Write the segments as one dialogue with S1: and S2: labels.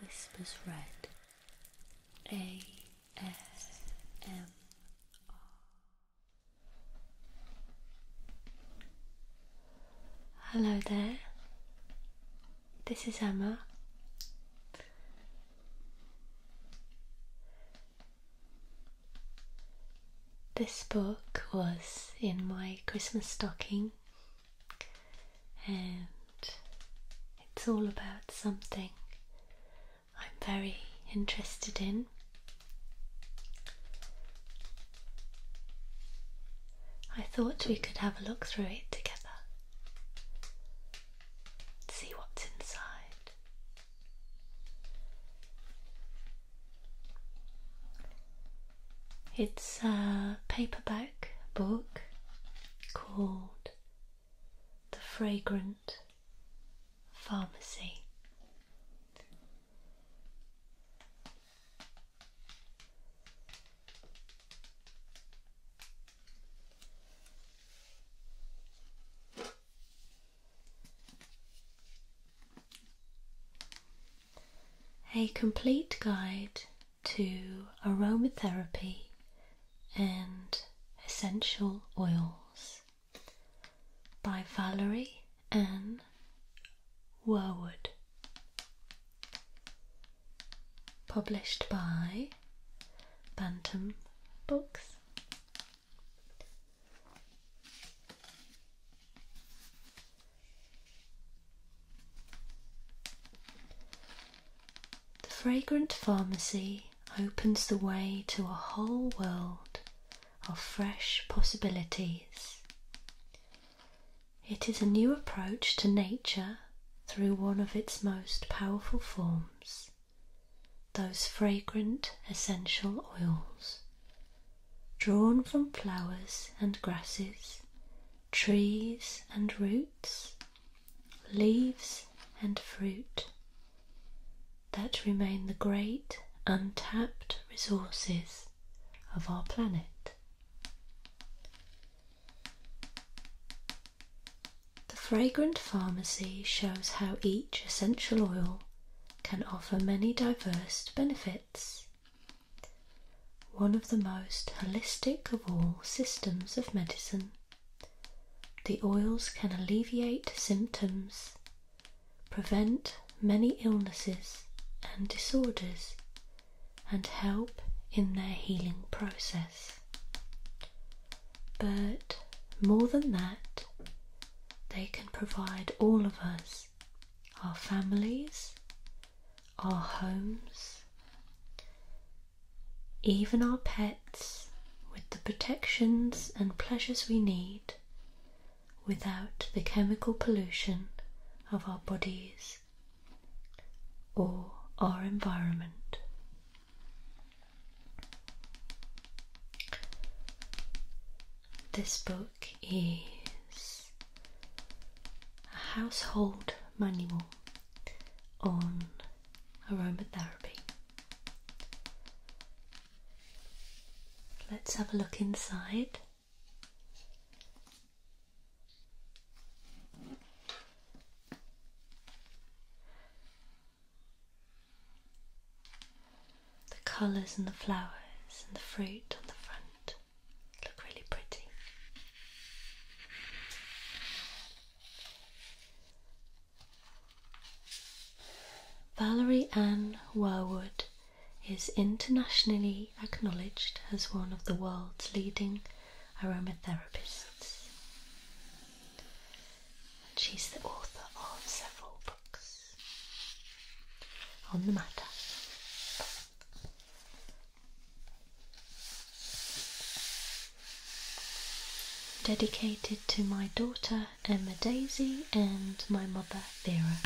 S1: Whispers Red A S M R. Hello there. This is Emma. This book was in my Christmas stocking and it's all about something I'm very interested in. I thought we could have a look through it together, see what's inside. It's a paperback book called The Fragrant Pharmacy. A complete guide to aromatherapy and essential oils by Valerie N. Werwood. Published by Bantam Books. The fragrant pharmacy opens the way to a whole world of fresh possibilities. It is a new approach to nature through one of its most powerful forms, those fragrant essential oils, drawn from flowers and grasses trees and roots, leaves and fruit that remain the great untapped resources of our planet. The Fragrant Pharmacy shows how each essential oil can offer many diverse benefits one of the most holistic of all systems of medicine. The oils can alleviate symptoms, prevent many illnesses and disorders, and help in their healing process. But more than that, they can provide all of us, our families, our homes, even our pets, with the protections and pleasures we need without the chemical pollution of our bodies or our environment. This book is a household manual on aromatherapy. Let's have a look inside. The colours and the flowers and the fruit on the front. Valerie Ann Warwood is internationally acknowledged as one of the world's leading aromatherapists. And she's the author of several books on the matter. Dedicated to my daughter Emma Daisy and my mother Vera.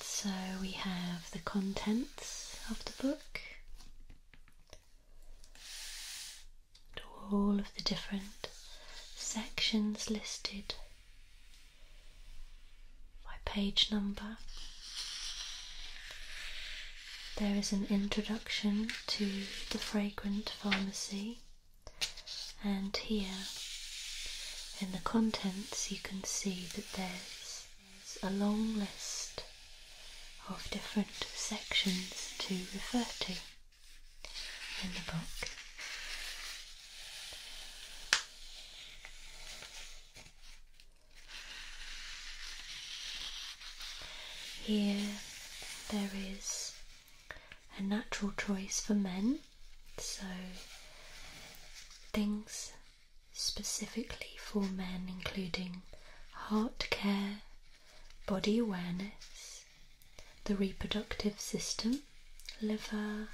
S1: So we have the contents of the book to all of the different sections listed by page number. There is an introduction to the fragrant pharmacy, and here in the contents you can see that there's a long list of different sections to refer to in the book. Here there is a natural choice for men, so things specifically for men, including heart care, body awareness, the reproductive system, liver,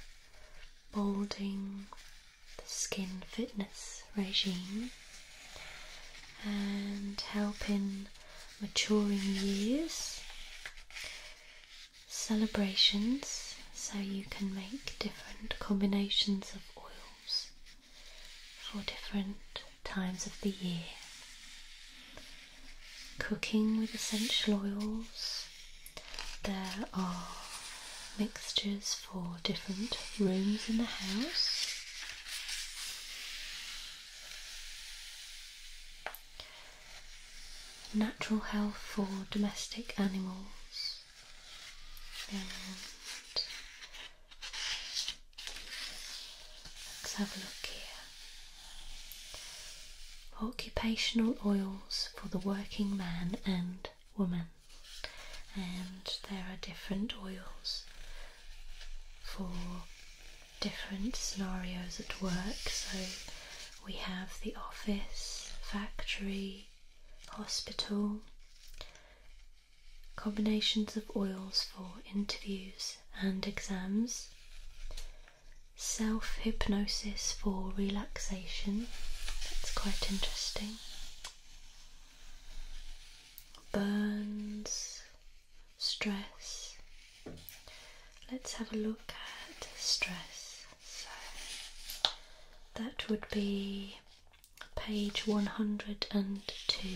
S1: molding, the skin fitness regime, and help in maturing years, celebrations, so you can make different combinations of oils for different times of the year. Cooking with essential oils. There are mixtures for different rooms in the house. Natural health for domestic animals Let's have a look here. Occupational oils for the working man and woman. And there are different oils for different scenarios at work. So we have the office, factory, hospital, combinations of oils for interviews and exams, self hypnosis for relaxation. That's quite interesting. Burns, stress. Let's have a look at stress. So that would be page 102.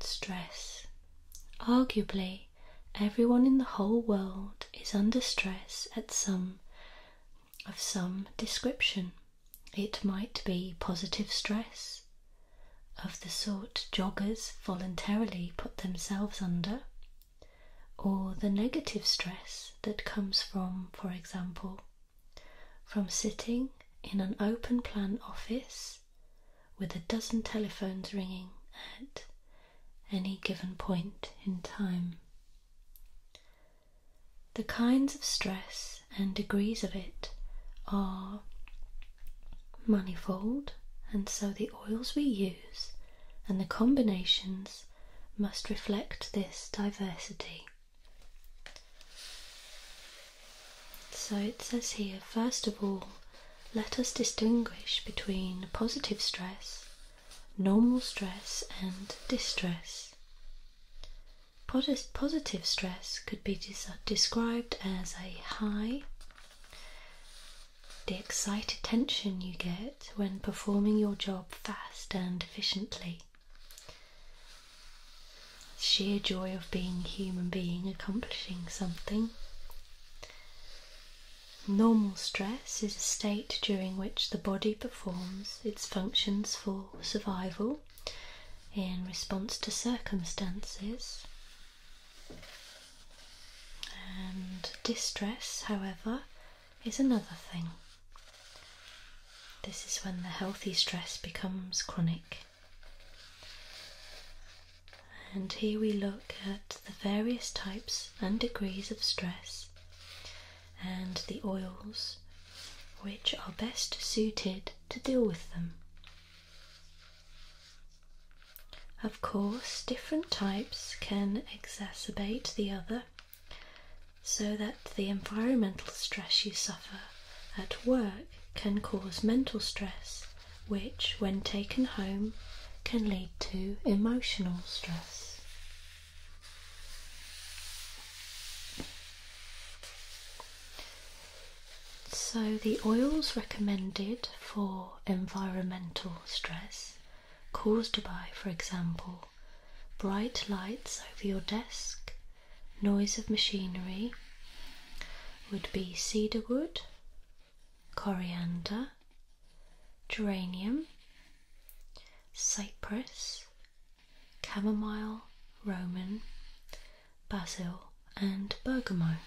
S1: Stress. Arguably, everyone in the whole world is under stress at some of some description. It might be positive stress, of the sort joggers voluntarily put themselves under, or the negative stress that comes from, for example, from sitting in an open plan office with a dozen telephones ringing at any given point in time. The kinds of stress and degrees of it are manifold, and so the oils we use and the combinations must reflect this diversity. So it says here first of all, let us distinguish between positive stress, normal stress, and distress. positive stress could be described as a high, the excited tension you get when performing your job fast and efficiently. Sheer joy of being a human being, accomplishing something. Normal stress is a state during which the body performs its functions for survival in response to circumstances. And distress, however, is another thing. This is when the healthy stress becomes chronic. And here we look at the various types and degrees of stress and the oils which are best suited to deal with them. Of course, different types can exacerbate the other so that the environmental stress you suffer at work can cause mental stress, which, when taken home, can lead to emotional stress. So, the oils recommended for environmental stress caused by, for example, bright lights over your desk, noise of machinery would be cedarwood, coriander, geranium, cypress, chamomile, roman, basil, and bergamot.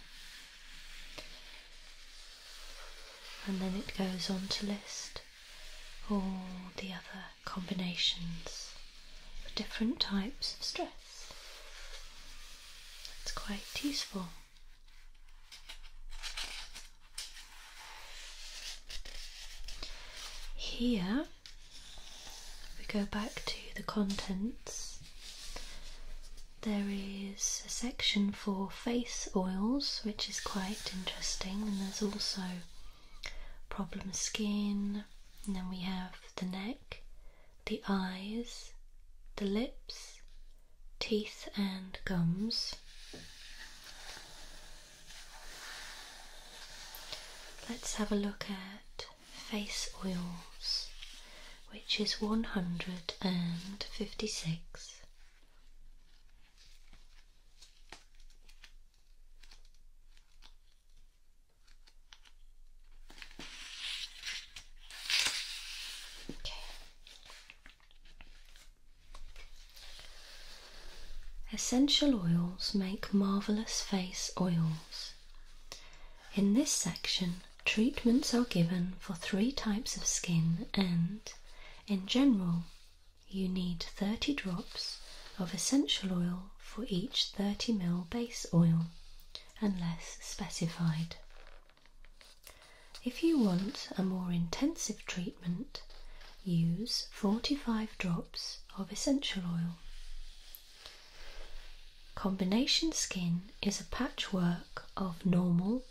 S1: And then it goes on to list all the other combinations of different types of stress. That's quite useful. Here we go back to the contents. There is a section for face oils, which is quite interesting, and there's also problem skin, and then we have the neck, the eyes, the lips, teeth, and gums. Let's have a look at face oils, which is 156. Essential oils make marvelous face oils. In this section, treatments are given for three types of skin and, in general, you need 30 drops of essential oil for each 30 ml base oil, unless specified. If you want a more intensive treatment, use 45 drops of essential oil. Combination skin is a patchwork of normal,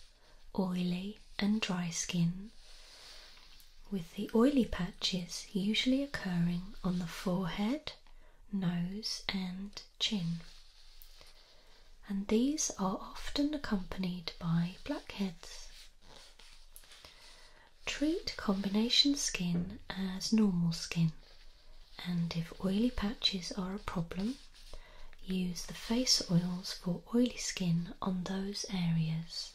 S1: oily, and dry skin with the oily patches usually occurring on the forehead, nose, and chin. And these are often accompanied by blackheads. Treat combination skin as normal skin, and if oily patches are a problem, use the face oils for oily skin on those areas.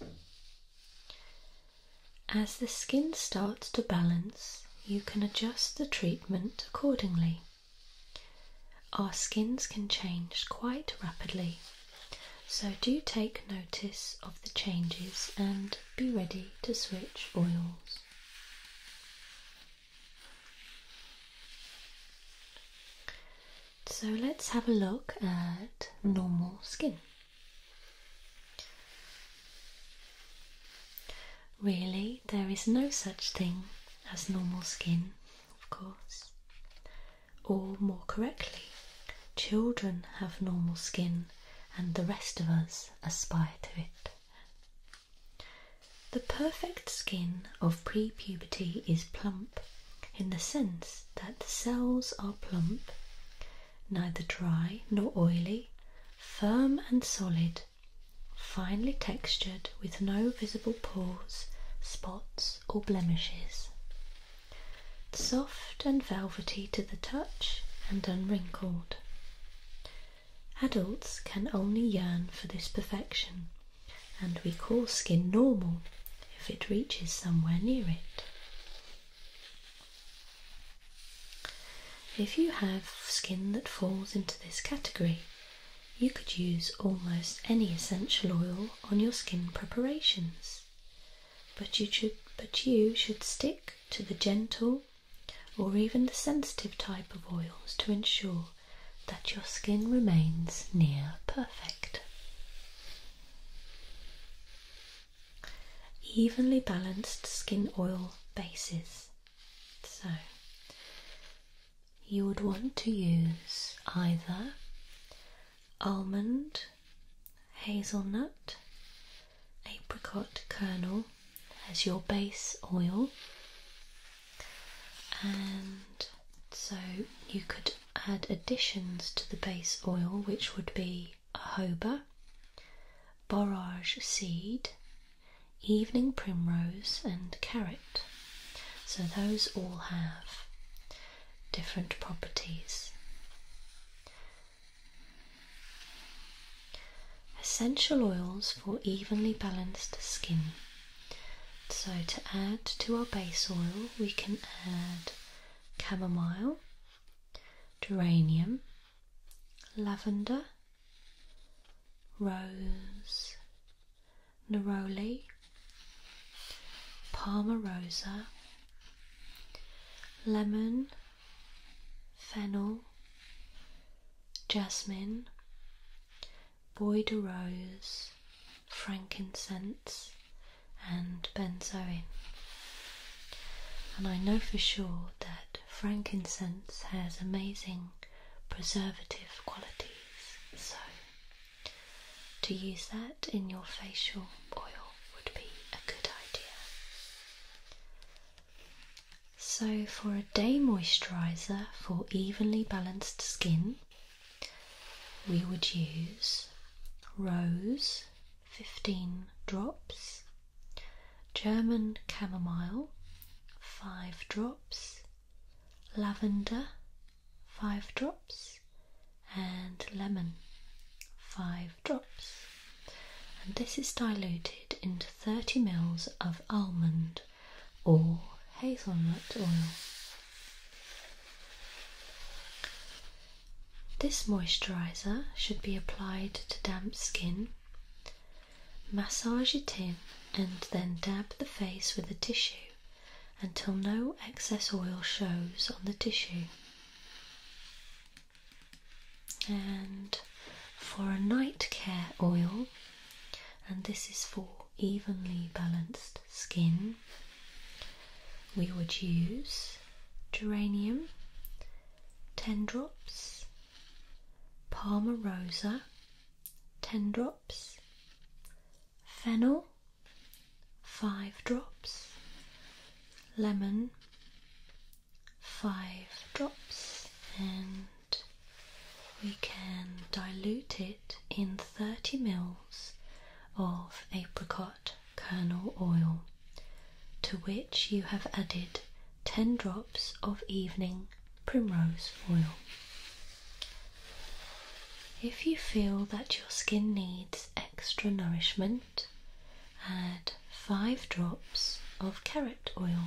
S1: As the skin starts to balance, you can adjust the treatment accordingly. Our skins can change quite rapidly, so do take notice of the changes and be ready to switch oils. So let's have a look at normal skin. Really, there is no such thing as normal skin, of course. Or more correctly, children have normal skin and the rest of us aspire to it. The perfect skin of pre puberty is plump in the sense that the cells are plump, neither dry nor oily, firm and solid, finely textured with no visible pores, spots, or blemishes. Soft and velvety to the touch and unwrinkled. Adults can only yearn for this perfection, and we call skin normal if it reaches somewhere near it. If you have skin that falls into this category, you could use almost any essential oil on your skin preparations, but you should, but you should stick to the gentle or even the sensitive type of oils to ensure that your skin remains near perfect evenly balanced skin oil bases. So you would want to use either almond, hazelnut, apricot kernel as your base oil, and so you could add additions to the base oil, which would be jojoba, borage seed, evening primrose, and carrot. So those all have different properties. Essential oils for evenly balanced skin. So, to add to our base oil, we can add Camomile, geranium, lavender, rose, neroli, palma rosa, lemon, fennel, jasmine, boyd de rose, frankincense, and benzoin. And I know for sure that frankincense has amazing preservative qualities, so to use that in your facial oil would be a good idea. So, for a day moisturizer for evenly balanced skin, we would use rose 15 drops, German chamomile 5 drops, lavender 5 drops, and lemon 5 drops. And this is diluted into 30 ml of almond or hazelnut oil. This moisturizer should be applied to damp skin. Massage it in and then dab the face with a tissue until no excess oil shows on the tissue. And for a night care oil, and this is for evenly balanced skin, we would use geranium, ten tendrops, palmarosa, drops, fennel, five drops, lemon, five drops, and we can dilute it in 30 mils of apricot kernel oil, to which you have added 10 drops of evening primrose oil. If you feel that your skin needs extra nourishment, add 5 drops of carrot oil.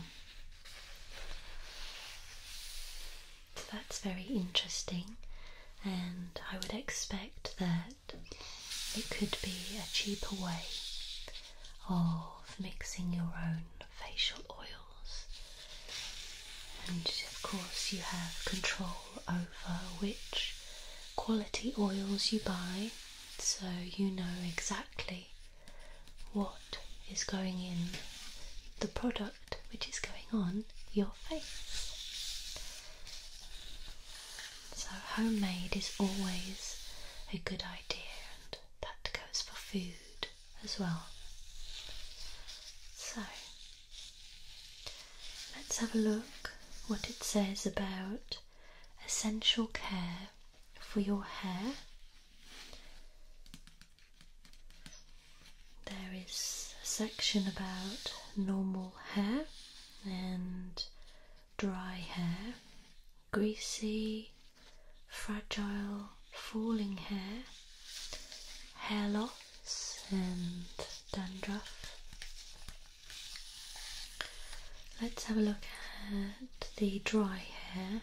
S1: that's very interesting, and I would expect that it could be a cheaper way of mixing your own facial oils. And of course, you have control over which quality oils you buy, so you know exactly what is going in the product which is going on your face. So, homemade is always a good idea, and that goes for food as well. So, let's have a look what it says about essential care for your hair. There is a section about normal hair and dry hair, greasy, fragile, falling hair, hair loss, and dandruff. Let's have a look at the dry hair,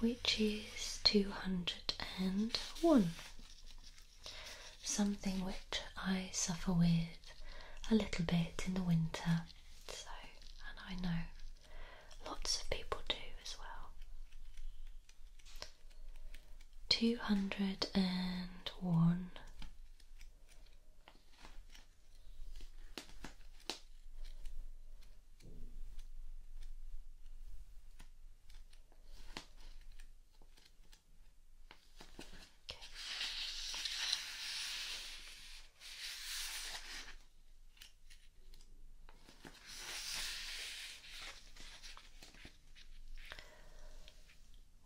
S1: which is 201 something which I suffer with a little bit in the winter. and I know lots of people do as well. 201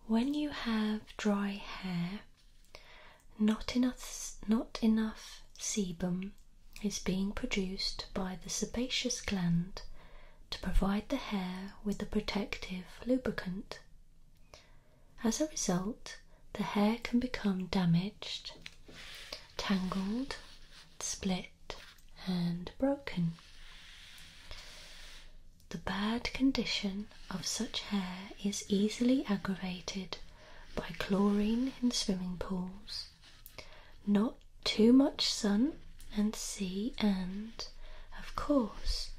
S1: when you have dry hair, not enough, not enough sebum is being produced by the sebaceous gland to provide the hair with a protective lubricant. As a result, the hair can become damaged, tangled, split, and broken. The bad condition of such hair is easily aggravated by chlorine in swimming pools, not too much sun and sea, and of course,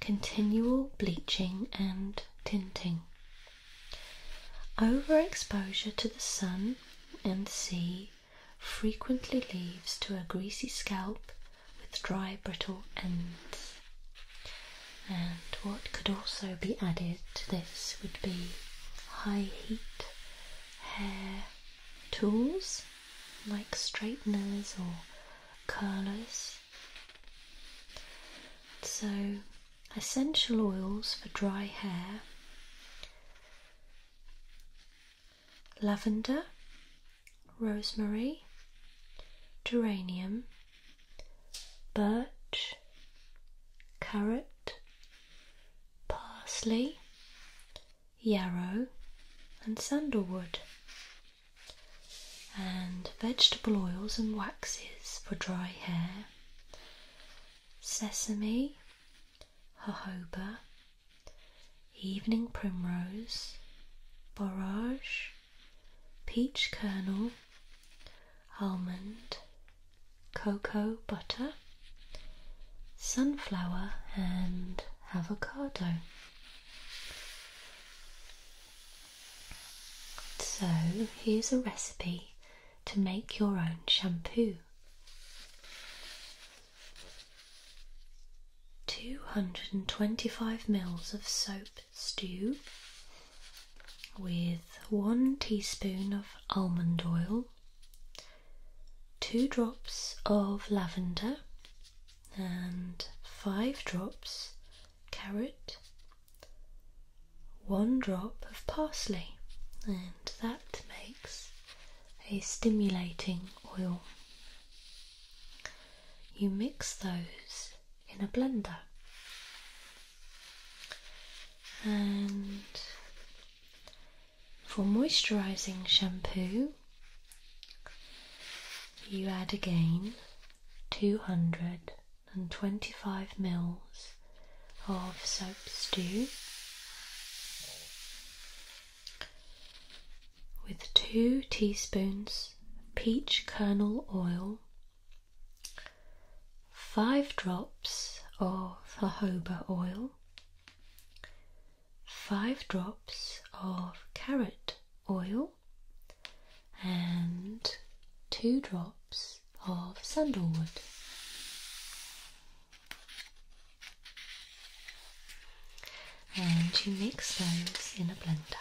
S1: continual bleaching and tinting. Overexposure to the sun and sea frequently leads to a greasy scalp with dry, brittle ends. And what could also be added to this would be high heat hair tools like straighteners or curlers. So, essential oils for dry hair lavender, rosemary, geranium, birch, carrot, parsley, yarrow, and sandalwood, and vegetable oils and waxes for dry hair, sesame, jojoba, evening primrose, borage, peach kernel, almond, cocoa butter, sunflower, and avocado. So, here's a recipe to make your own shampoo. 225 mils of soap stew with 1 teaspoon of almond oil, 2 drops of lavender, and five drops carrot, one drop of parsley, and that makes a stimulating oil. You mix those in a blender and for moisturising shampoo, you add again 225 mils of soap stew with 2 teaspoons peach kernel oil, 5 drops of jojoba oil, 5 drops of carrot oil and 2 drops of sandalwood. And you mix those in a blender.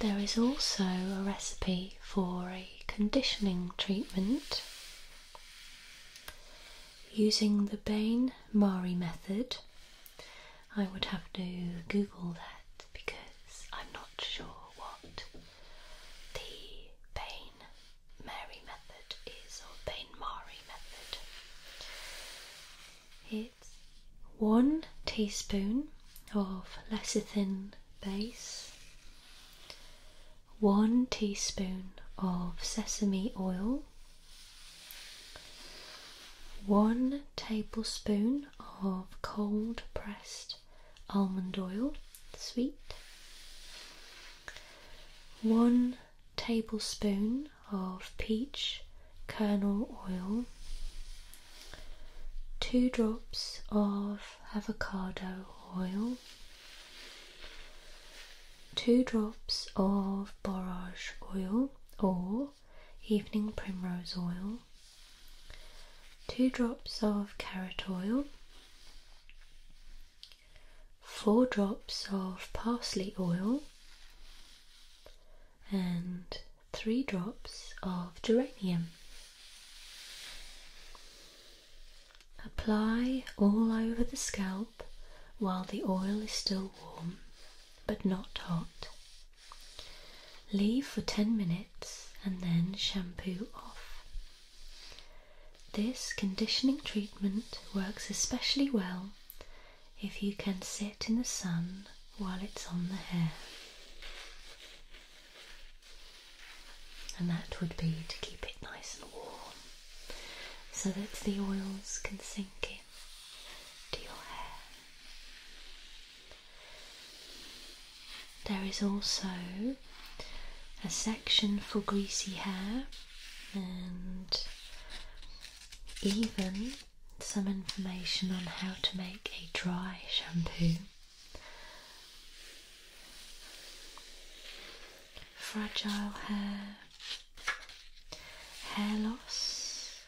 S1: There is also a recipe for a conditioning treatment using the Bain Marie method. I would have to Google that because I'm not sure what the Bain Mary method is or Bain Mari method. It's one teaspoon of lecithin base, one teaspoon of sesame oil. One tablespoon of cold pressed almond oil, sweet, one tablespoon of peach kernel oil, two drops of avocado oil, two drops of borage oil or evening primrose oil. 2 drops of carrot oil, 4 drops of parsley oil, and 3 drops of geranium. Apply all over the scalp while the oil is still warm but not hot. Leave for 10 minutes and then shampoo off. This conditioning treatment works especially well if you can sit in the sun while it's on the hair. And that would be to keep it nice and warm so that the oils can sink in your hair. There is also a section for greasy hair and even some information on how to make a dry shampoo. Fragile hair, hair loss,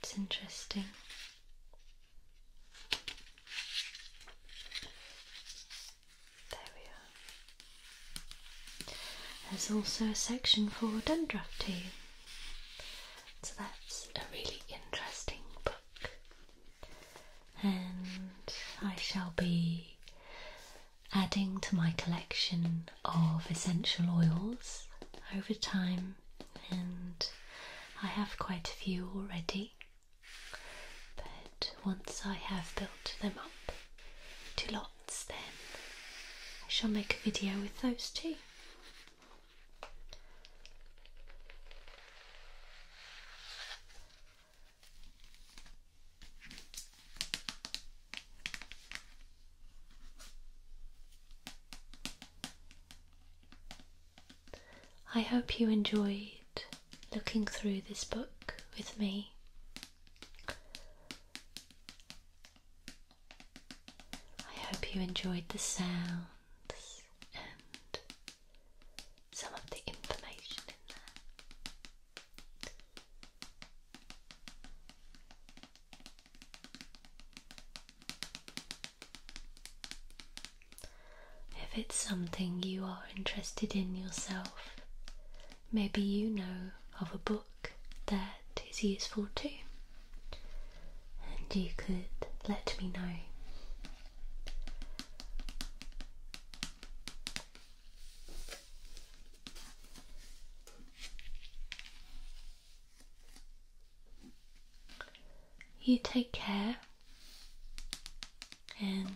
S1: that's interesting. There we are. There's also a section for dandruff tea. So that's a really interesting book. And I shall be adding to my collection of essential oils over time, and I have quite a few already. But once I have built them up to lots, then I shall make a video with those too. I hope you enjoyed looking through this book with me. I hope you enjoyed the sounds and some of the information in there. If it's something you are interested in yourself, maybe you know of a book that is useful too, and you could let me know. You take care and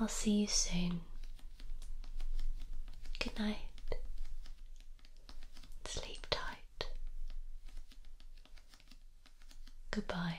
S1: I'll see you soon. Good night. Sleep tight. Goodbye.